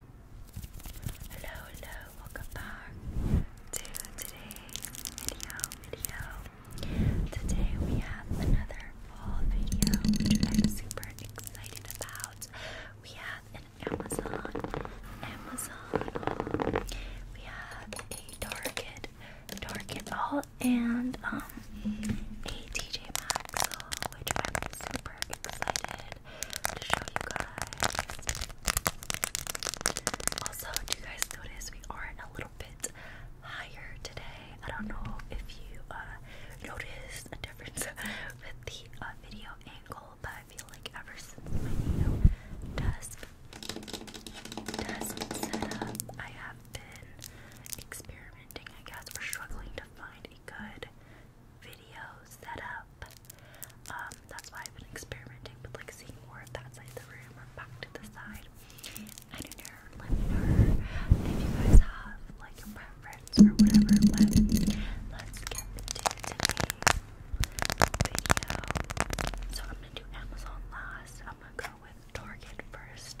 Hello, hello, welcome back to today's video, video. Today we have another fall video, which I'm super excited about. We have an Amazon, Amazon, we have a Target, Target haul, and um, a TJ Maxx which I'm super excited also, do you guys notice we are a little bit higher today? I don't know if you uh, noticed a difference with the uh, video angle, but I feel like ever since my new desk, setup, I have been experimenting, I guess, we're struggling to find a good video setup. Um, that's why I've been experimenting with like seeing more of that side of the room or back to the side. I don't know, let me know if you guys have like a or whatever, but let's get into today's video. So I'm gonna do Amazon last, I'm gonna go with Target first.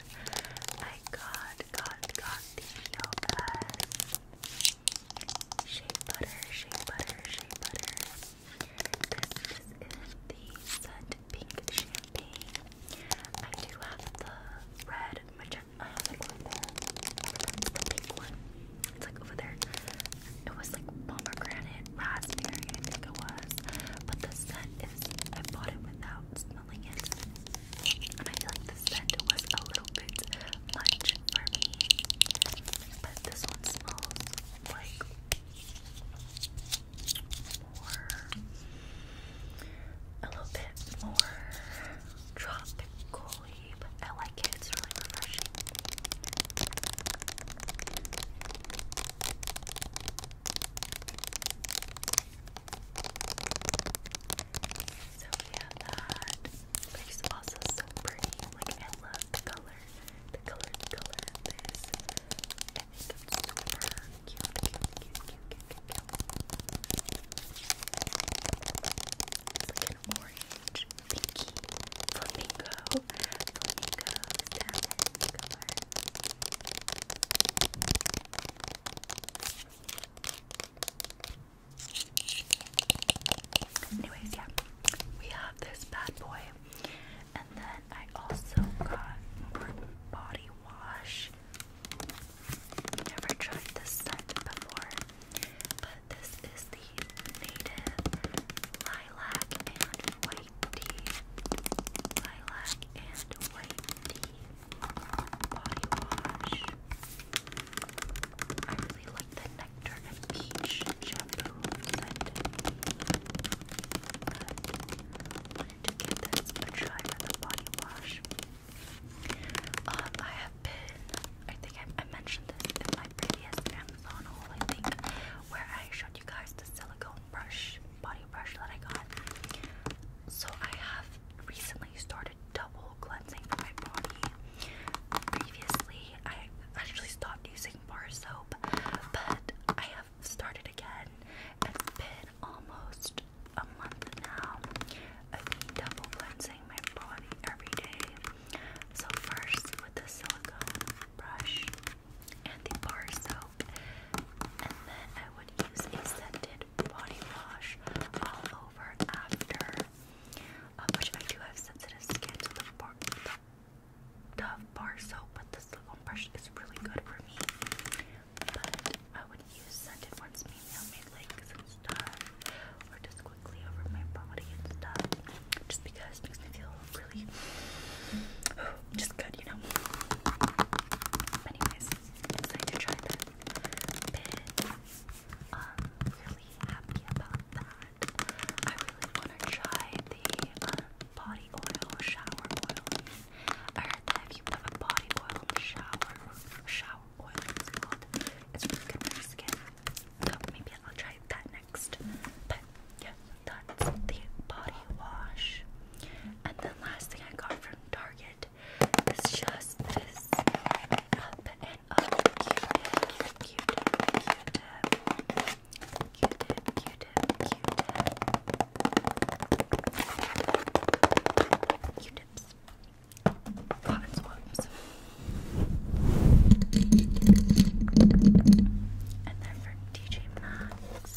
I got, got, got the LS Shea butter, shea butter, shea butter. This is the Scent Pink Champagne. I do have the red magenta. Uh, I have it there. the pink one. It's like over there. It was like pomegranate, raspberry, I think it was. But the scent is, I bought it without smelling it. I feel like the scent was a little bit much for me. But this one's smells like more, a little bit more tropical y, but I like it. It's really refreshing. So we have that. But it's also so pretty. Like I love the color. The color, color this. it's super cute, cute, cute, cute, cute, cute, cute. It's like an orange, pinky, flamingo, flamingo, salmon color. Anyways, yeah, we have this bad boy, and then I also got body wash. Never tried this scent before, but this is the native lilac and white tea. Lilac and white tea body wash. I really like the nectar and peach shampoo But wanted to give this a try for the body wash. Um, I have been, I think I, I mentioned this in my previous Amazon haul, I think, where I showed you guys the silicone brush body brush that I got. So I have recently started double cleansing for my body. Previously, I actually stopped using bar soap, but I have started again. It's been almost a month now of me double cleansing my body every day. So first with the silicone brush, and the bar soap, and then I would use a scented body wash all over after, uh, which I do have sensitive skin, so the bar, soap with the silicone brush is really good for me, but I would use scented ones maybe on my legs and stuff, or just quickly over my body and stuff, just because makes me feel really just good, you know. anyways, excited to try that. Um, really happy about that. I really wanna try the uh, body oil, shower oil. I heard that if you put a body oil in shower shower oil it's it's really good for skin. So maybe I'll try that next. But that's the body wash. And then last thing I got from Target is just this up and Q-tip, Q-tip, Q-tip, Q-tip, Q-tip, Q-tip, Q-tips, cotton swabs. And then from DJ Maxx,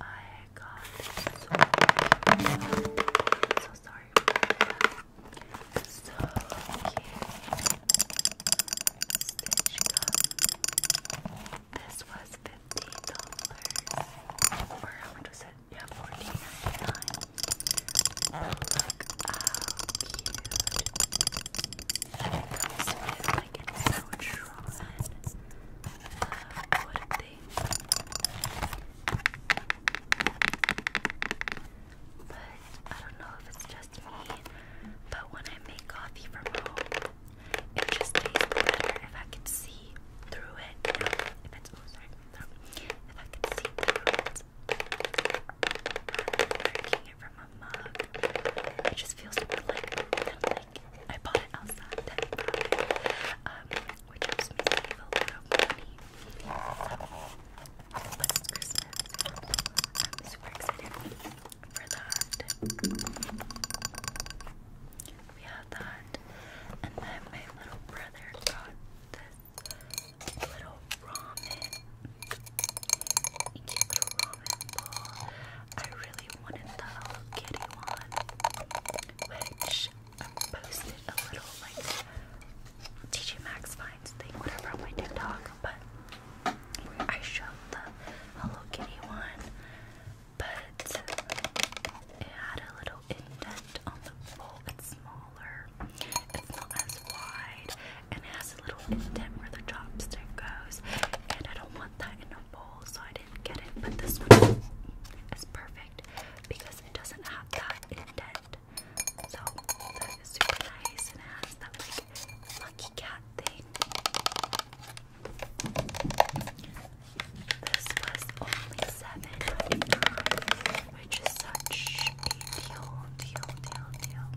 I got so i so sorry So cute. This was fifteen dollars. Or how much was it? Yeah, fourteen ninety nine. Oh, look how cute. It so true drawn, wouldn't they? But I don't know if it's just me, but when I make coffee from home, it just tastes better if I can see through it. if it's oh sorry, if I could see through it from a mug. It just feels like, like I bought it outside um, which helps me save a lot of money. Christmas. I'm super excited for that. We have that. And then my little brother got this little ramen. A cute I really wanted the Hello Kitty one, which I posted a little like TJ Maxx finds thing, whatever on my TikTok, but I showed the Hello Kitty one, but it had a little indent on the bowl. It's smaller, it's not as wide, and it has a little indent where the chopstick goes. And I don't want that in a bowl, so I didn't get it. But this one is perfect because it doesn't have that indent. So that is super nice, and it has that like lucky cat thing. This was only seven ninety nine, which is such deal, deal, deal, deal.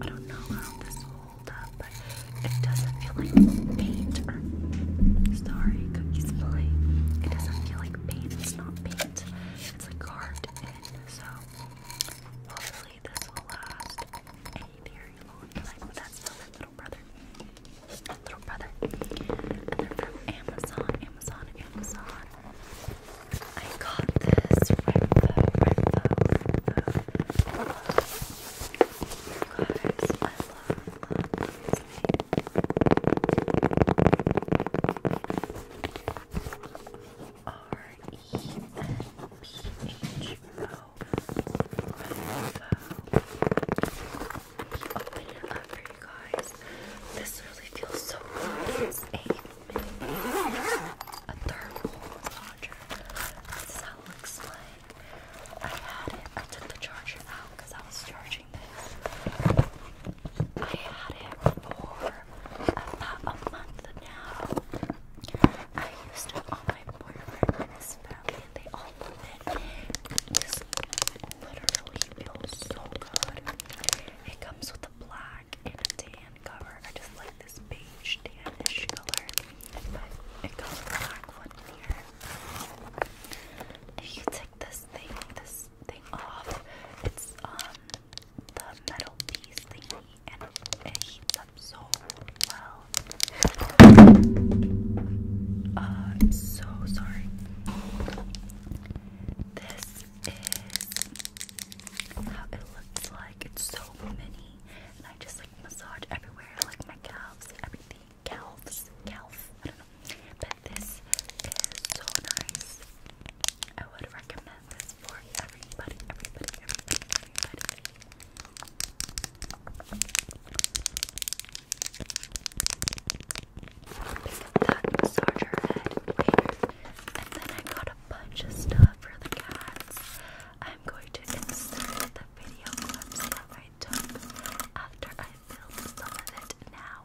I don't know how this will hold up, but it doesn't feel like paint or sorry, cookies play. It doesn't feel like paint, it's not paint. It's like carved in, so hopefully this will last a very long time. That's for my little brother. Little brother. And they're from Amazon, Amazon, Amazon. I got this Renfo, Renfo, Renfo. You guys, I love, love this name. R-E-N-P-H-O, Renfo. Open it up for you guys. This really feels so good. a, thermal charger. This is looks like. I had it. I took the charger out because I was charging this. I had it for about a month now. I used it on my boyfriend and his family, and they all love This literally feels so good. It comes with a black and a tan cover. I just like this beige tanish color, it comes with a black one here. If you take this thing, this thing off, it's um the metal piece thingy, and it heats up so well. Uh, I'm so sorry. This is how it looks like. It's so mini, and I just like massage everywhere, like my calves, everything. Calves, calf, I don't know. But this is so nice. I would recommend this for everybody, everybody, everybody, everybody. Pick up that head And then I got a bunch of stuff for the cats. I'm going to insert the video clips that I took after I filmed some of it now.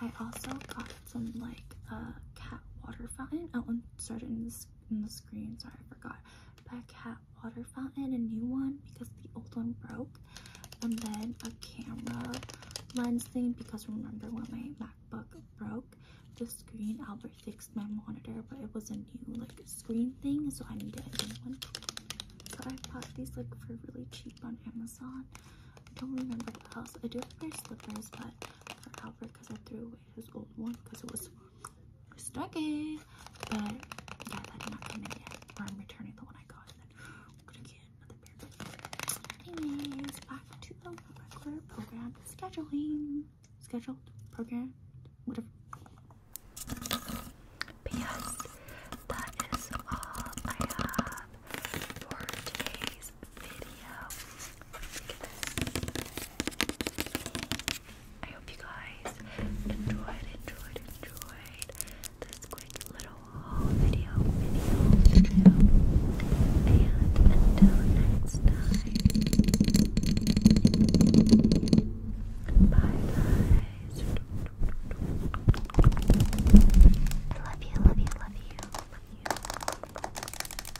I also got some like a uh, cat water fountain. Oh, and started in in the screen. Sorry, I forgot by cat water fountain, a new one because the old one broke, and then a camera lens thing because remember when my MacBook broke the screen, Albert fixed my monitor, but it was a new like screen thing, so I needed a new one. I bought these like for really cheap on Amazon. I don't remember what else. I do have their slippers, but for Albert because I threw away his old one because it was stuck it. But I'm returning the one I got and then I'm back to the regular program scheduling. Scheduled program, whatever. But that is all I have for today's video. I hope you guys enjoyed, enjoyed, enjoyed this quick little video, video, video. And until next time, bye guys. I love you, love you, love you, love you.